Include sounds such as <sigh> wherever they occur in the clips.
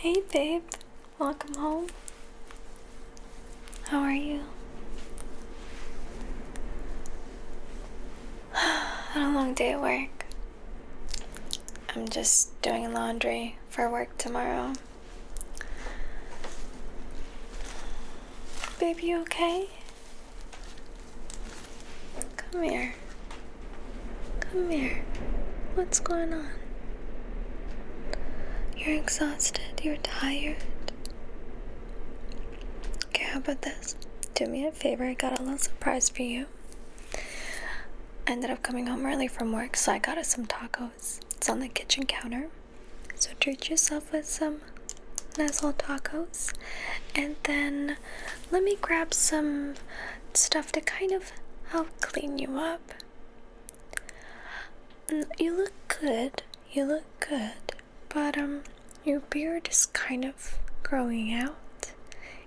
Hey babe, welcome home. How are you? What <sighs> a long day at work. I'm just doing laundry for work tomorrow. Babe, you okay? Come here. Come here. What's going on? You're exhausted. You're tired. Okay, how about this? Do me a favor. I got a little surprise for you. I ended up coming home early from work, so I got us some tacos. It's on the kitchen counter. So treat yourself with some nice little tacos. And then let me grab some stuff stuff to kind of help clean you up. You look good, you look good, but um, your beard is kind of growing out.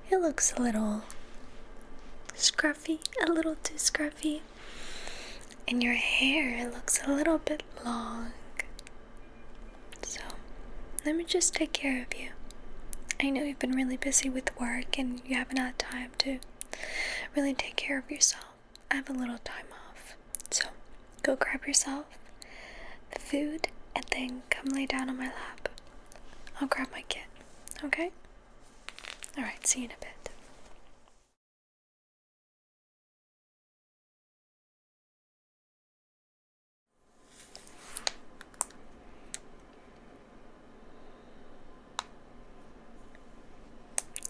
It looks a little scruffy, a little too scruffy. And your hair looks a little bit long. So, let me just take care of you. I know you've been really busy with work and you haven't had time to really take care of yourself, I have a little time off. So go grab yourself the food and then come lay down on my lap. I'll grab my kit, okay? Alright, see you in a bit.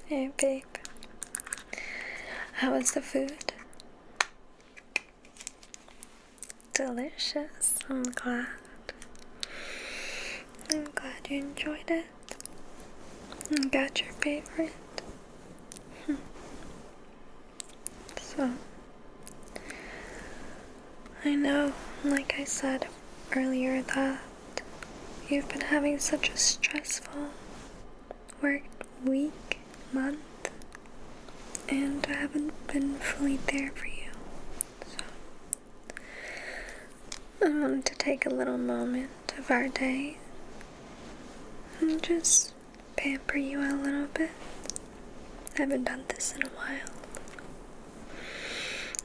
Hey, babe. How was the food? Delicious. I'm glad. I'm glad you enjoyed it. And got your favorite. Hmm. so, I know, like I said earlier, that you've been having such a stressful work week, month, and I haven't been fully there for you. So, I wanted to take a little moment of our day and just pamper you a little bit. I haven't done this in a while.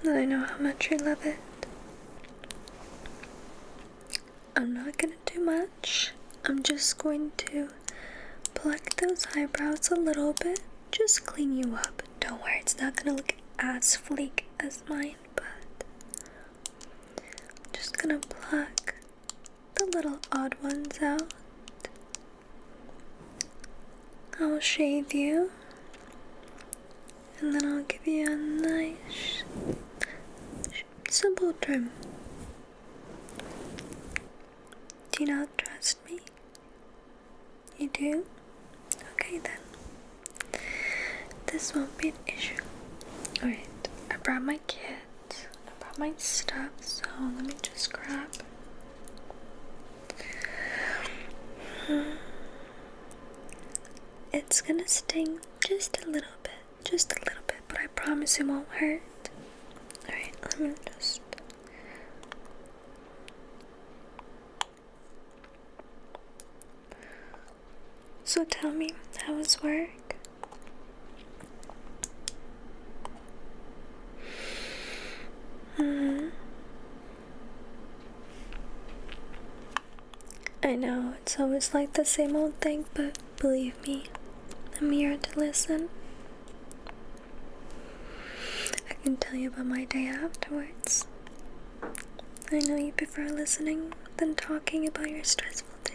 And I know how much you love it. I'm not gonna do much. I'm just going to pluck those eyebrows a little bit, just clean you up. Don't worry, it's not gonna look as fleek as mine, but I'm just gonna pluck the little odd ones out. I will shave you and then I'll give you a nice simple trim. Do you not trust me? You do? Okay then. This won't be an issue. Alright, I brought my kit. I brought my stuff, so let me just grab <sighs> It's gonna sting just a little bit, just a little bit, but I promise it won't hurt. Alright, I'm gonna just. So tell me, how was work? -hmm. I know, it's always like the same old thing, but believe me, I'm here to listen. I can tell you about my day afterwards. I know you prefer listening than talking about your stressful day.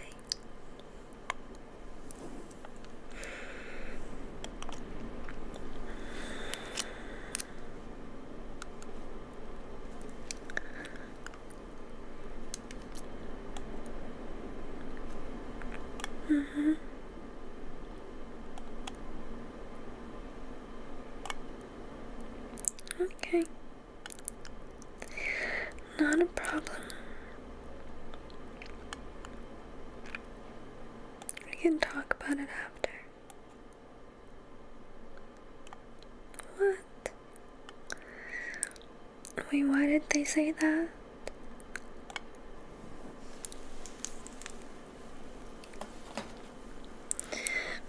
Mm -hmm. Okay. Not a problem. We can talk about it after. What? Wait, why did they say that?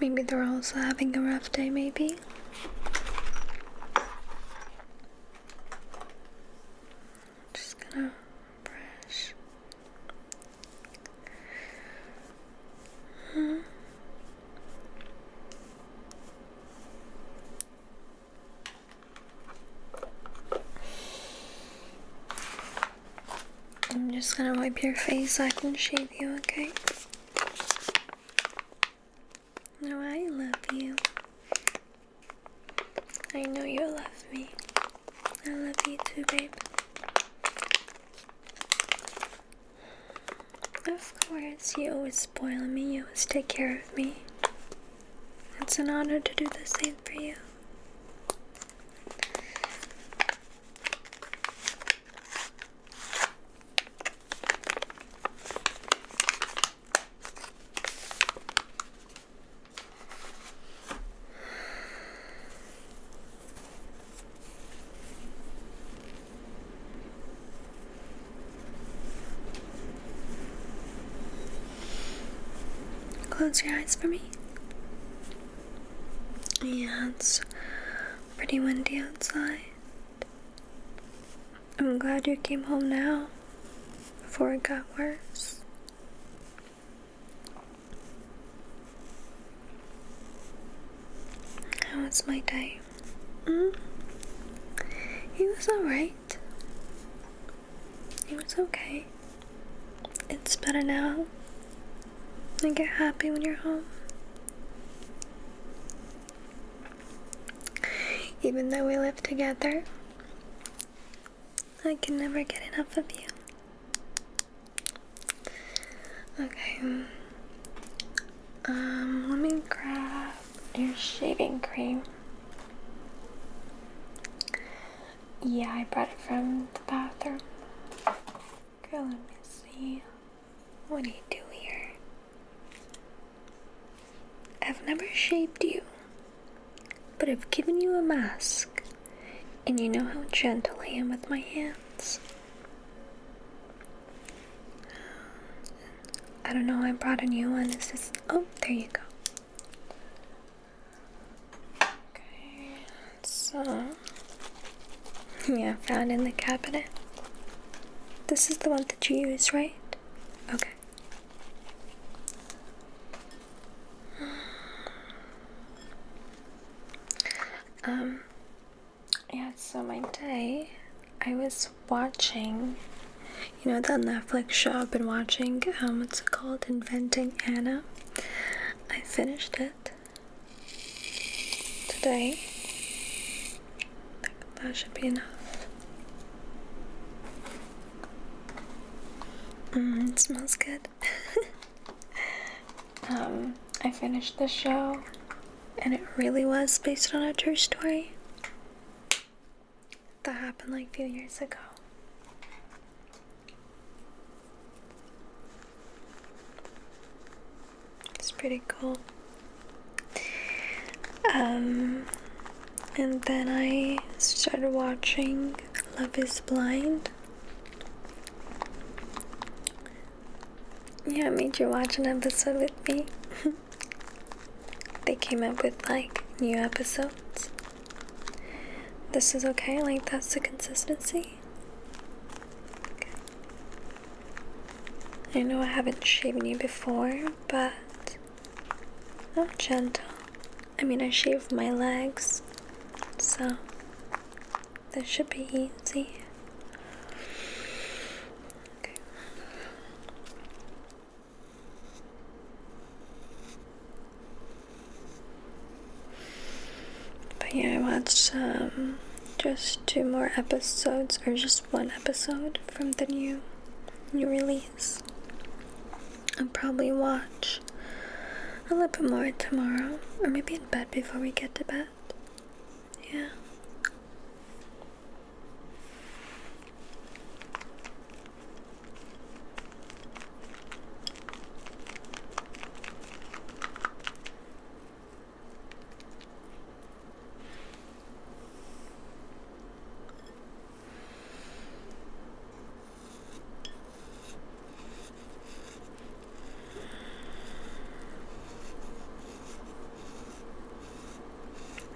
Maybe they're also having a rough day, maybe? I'm just gonna brush. Hmm. I'm just gonna wipe your face I can shave you, okay? No, I love you. I know you love me. I love you too, babe. Of course, you always spoil me, you always take care of me. It's an honor to do the same for you. Close your eyes for me. Yeah, it's pretty windy outside. I'm glad you came home now before it got worse. How was my day? Mm? It was alright. It was okay. It's better now. You get happy when you're home. Even though we live together, I can never get enough of you. Okay. Um, let me grab your shaving cream. Yeah, I brought it from the bathroom. Okay, let me see. What do you do here? I've never shaved you. But I've given you a mask, and you know how gentle I am with my hands. I don't know, I brought a new one. This Is Oh, there you go. Okay, so. Yeah, found in the cabinet. This is the one that you use, right? Okay. <sighs> Um, yeah, so my day, I was watching, you know, that Netflix show I've been watching, um, it's called Inventing Anna. I finished it today. That should be enough. Mm, it smells good. <laughs> Um, I finished the show, and it really was based on a true story that happened like a few years ago. It's pretty cool. Um, and then I started watching Love is Blind. Yeah, I made you watch an episode with me. <laughs> they came up with like new episodes. This is okay, like that's the consistency. I know I haven't shaven you before, but I'm gentle. I mean, I shaved my legs, so that should be easy. But yeah, I watched um, just two more episodes, or just one episode from the new new release. I'll probably watch a little bit more tomorrow, or maybe in bed before we get to bed. Yeah.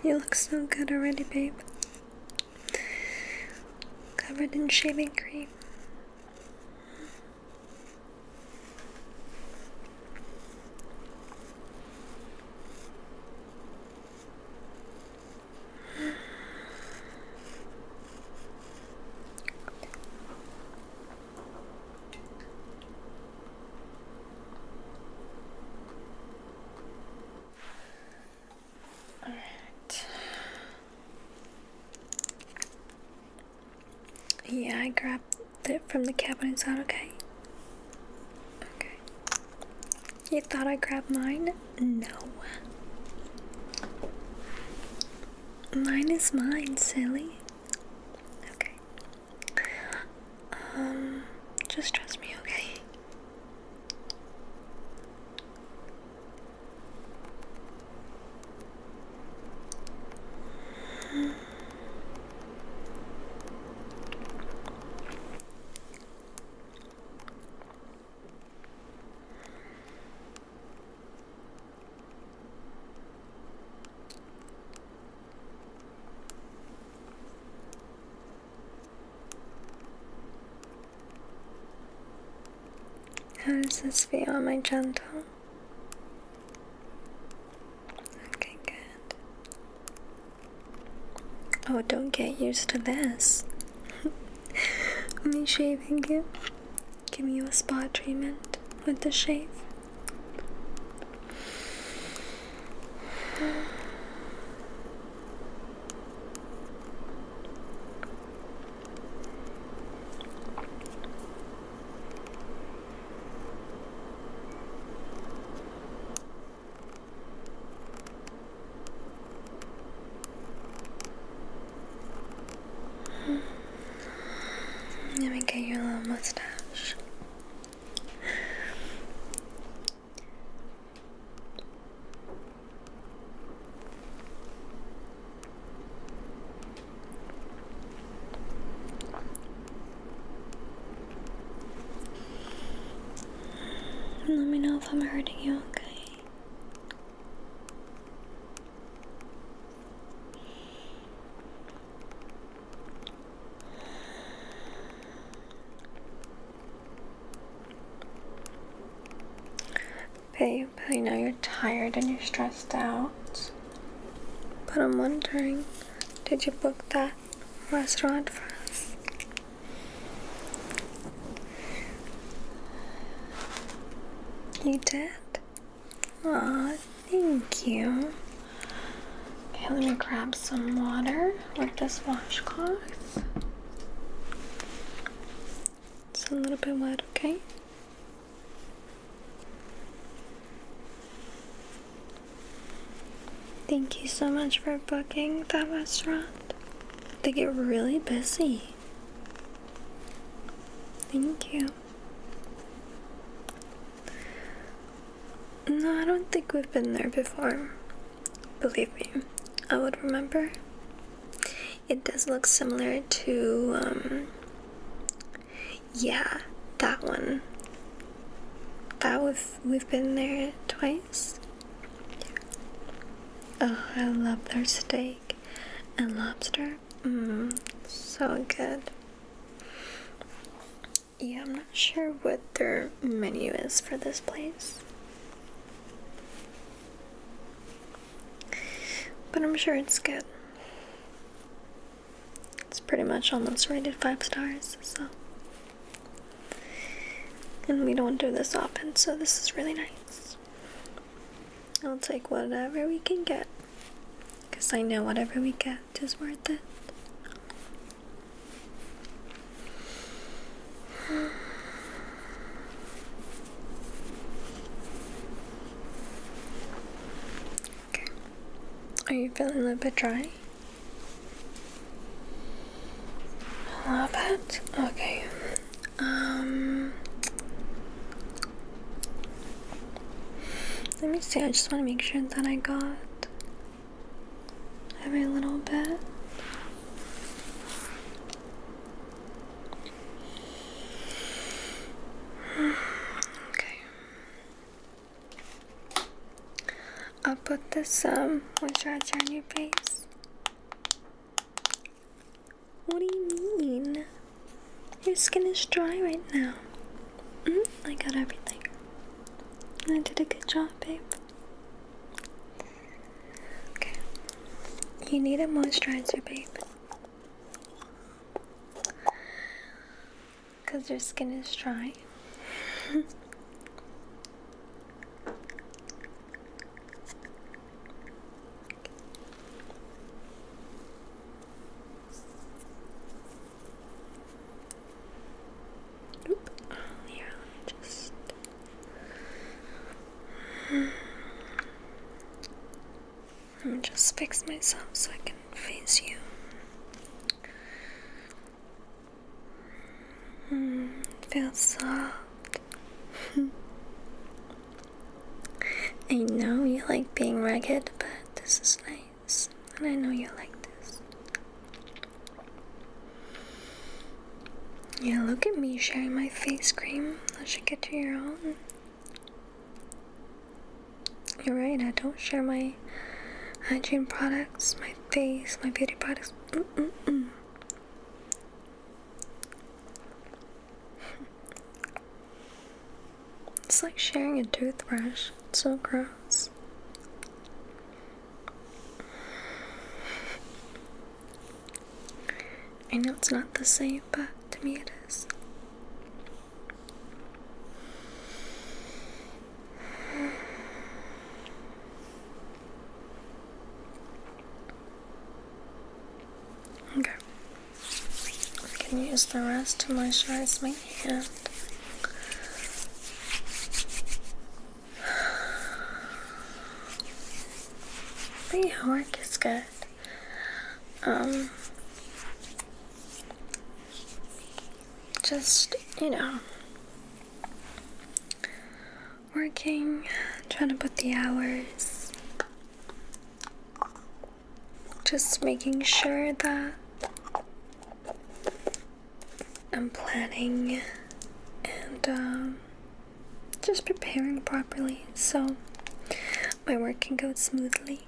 You look so good already, babe. Covered in shaving cream. All right. Yeah, I grabbed it from the cabinet. Is that okay? Okay. You thought I grabbed mine? No. Mine is mine, silly. Okay. Um, just trust me, okay? How does this feel? Am I gentle? Okay, good. Oh, don't get used to this. <laughs> Me shaving you give me a spa treatment with the shave. Let me get your little mustache. Let me know if I'm hurting you, okay? me. Babe, I know you're tired and you're stressed out, but I'm wondering, did you book that restaurant for us? You did? Aw, thank you. Okay, let me grab some water with this washcloth. It's a little bit wet, okay? Thank you so much for booking that restaurant. They get really busy. Thank you. No, I don't think we've been there before. Believe me, I would remember. It does look similar to, um, yeah, that one. That we've, we've been there twice. Oh, I love Thursday and lobster. Mmm, so good. Yeah, I'm not sure what their menu is for this place. But I'm sure it's good. It's pretty much almost rated 5 stars, so. And we don't do this often, so this is really nice. I'll take whatever we can get. Because I know whatever we get is worth it. Okay. Are you feeling a little bit dry? A little bit? Okay. Um, let me see. I just want to make sure that I got every little bit. Okay. I'll put this um moisturizer on your face. What do you mean? Your skin is dry right now. Mm, I got everything. I did a good job, babe. Okay. You need a moisturizer, babe. Because your skin is dry. <laughs> Oop. Oh, yeah, just. Let me just fix myself so I can face you. Mm, feels soft <laughs> I know you like being ragged, but this is nice, and I know you like this. Yeah, look at me sharing my face cream. I should get to your own. You're right, I don't share my hygiene products, my face, my beauty products it's like sharing a toothbrush. It's so gross. I know it's not the same, but to me it is. Okay. I can use the rest to moisturize my hand. The <sighs> yeah, work is good. Um, just, you know, working, trying to put the hours, just making sure that I'm planning and um, just preparing properly so my work can go smoothly.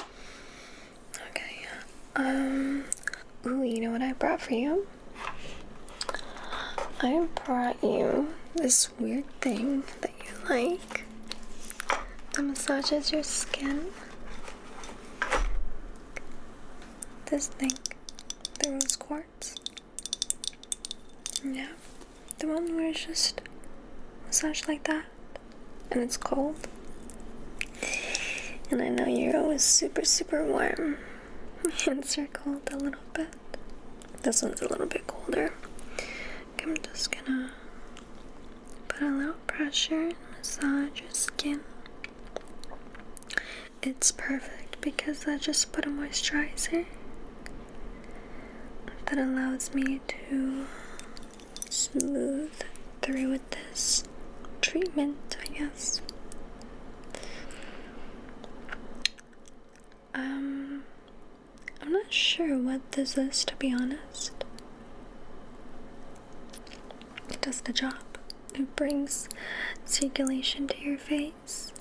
Okay, um, ooh, you know what I brought for you? I brought you this weird thing that you like that massages your skin. This thing, the rose quartz. Yeah, the one where it's just massage like that and it's cold. And I know you're always super, super warm <laughs> and circled a little bit. This one's a little bit colder. I'm just gonna put a little pressure massage your skin. It's perfect because I just put a moisturizer that allows me to smooth through with this treatment, I guess. Um, I'm not sure what this is to be honest. It does the job. It brings circulation to your face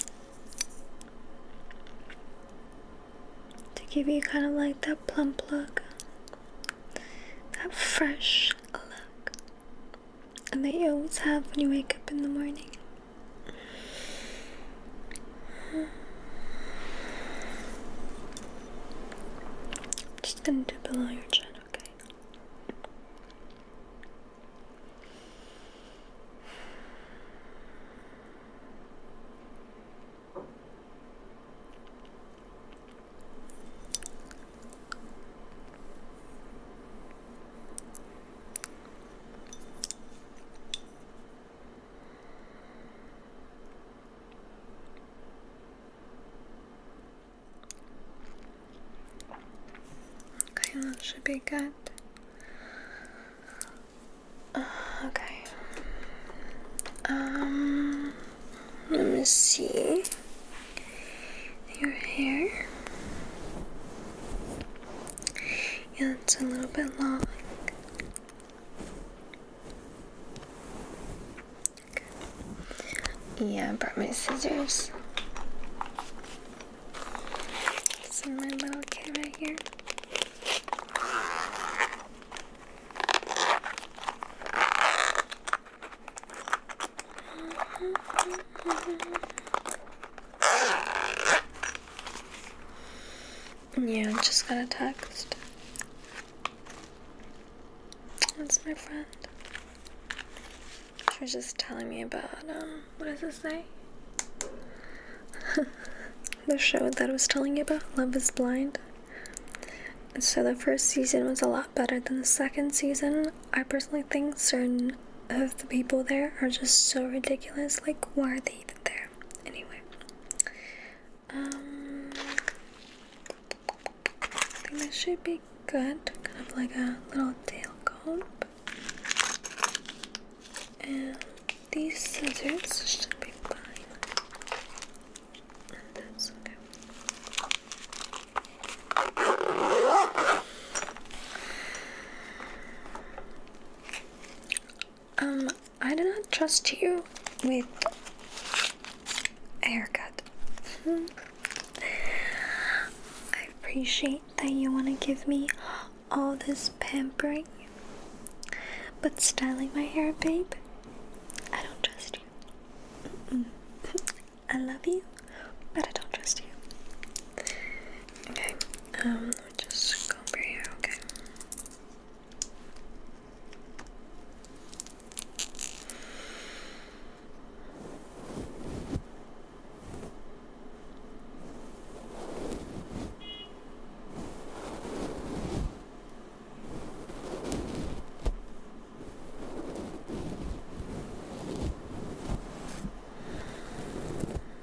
to give you kind of like that plump look, that fresh look, and that you always have when you wake up in the morning. I'm just gonna do below your chin, okay? Okay, that should be good. Uh, okay. Um, let me see your hair. Yeah, it's a little bit long. Yeah, I brought my scissors. So my little kid right here. <laughs> Yeah, I just got a text. That's my friend. She was just telling me about, um, what does it say? the show that I was telling you about, Love is Blind. And so the first season was a lot better than the second season. I personally think certain of the people there are just so ridiculous. Like, why are they there? Anyway, um, I think this should be good. Kind of like a little tail comb. And these scissors should be fine. And that's okay. Um, I do not trust you with a haircut. Hmm. I appreciate that you want to give me all this pampering, but styling my hair, babe, I don't trust you. <laughs> I love you, but I don't trust you. Okay, um, just over here, Okay.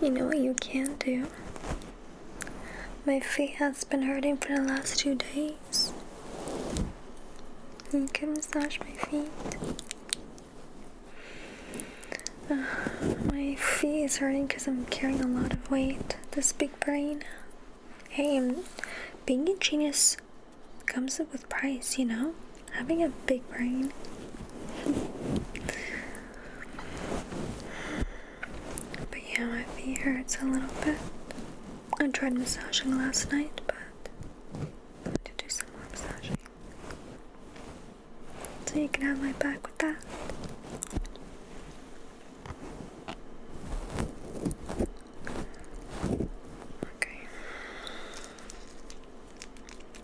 You know what you can do? My feet has been hurting for the last two days. You can massage my feet. my feet is hurting because I'm carrying a lot of weight. This big brain. Hey, being a genius comes with price, you know? having a big brain. but yeah, my feet hurts a little bit. I tried massaging last night, but to do some more massaging. So you can have my back with that. Okay.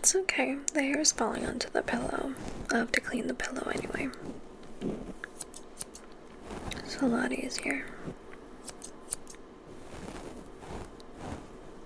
It's okay, the hair is falling onto the pillow. i have to clean the pillow anyway. It's a lot easier.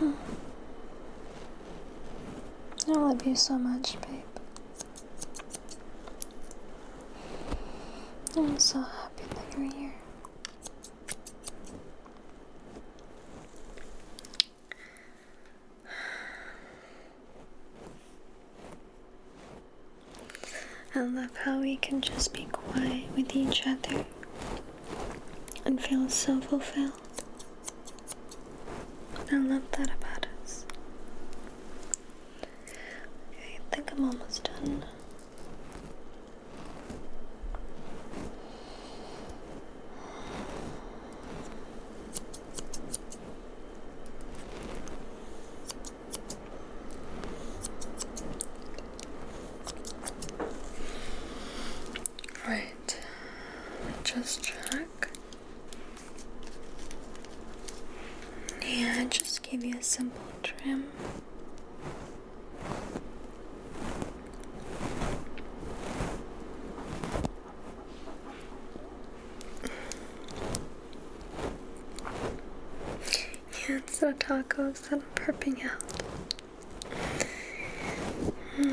Hmm. I love you so much, babe. I'm so happy that you're here. I love how we can just be quiet with each other and feel so fulfilled. I love that about us. Okay, I think I'm almost done. Right, just check. Yeah, just give you a simple trim. Yeah, it's not tacos that I'm perping out. Hmm.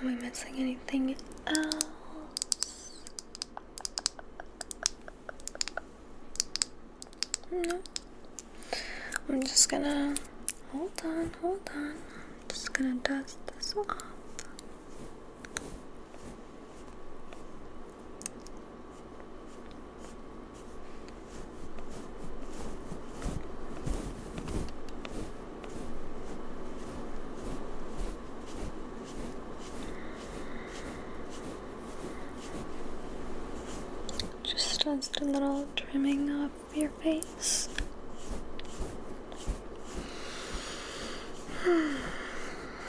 Am I missing anything else? No. I'm just gonna hold on, hold on. just gonna dust this off. Just does a little trimming of your face.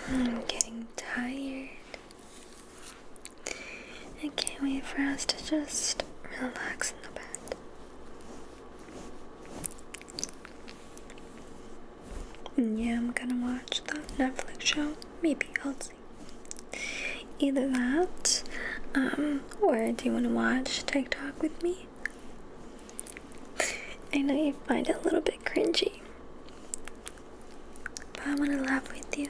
I'm getting tired. I can't wait for us to just relax in the bed. Yeah, I'm gonna watch the Netflix show. Maybe I'll see. Either that, um, or do you want to watch TikTok with me? I know you find it a little bit cringy, but I want to laugh with you.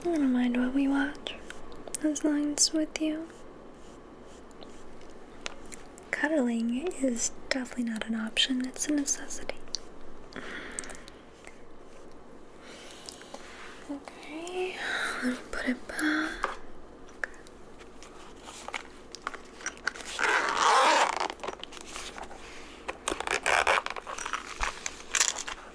I don't mind what we watch, as long as it's with you. Cuddling is definitely not an option, it's a necessity. Okay, I'll put it back.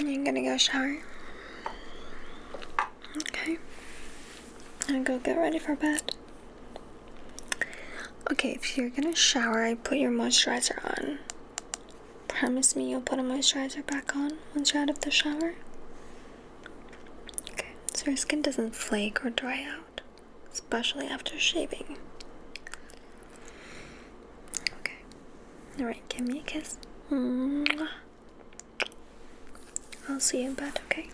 I'm gonna go shower. Okay. And go get ready for bed. Okay, if you're gonna shower, I put your moisturizer on. Promise me you'll put a moisturizer back on once you're out of the shower. Okay, so your skin doesn't flake or dry out especially after shaving. Okay. Alright, give me a kiss. I'll see you in bed, okay?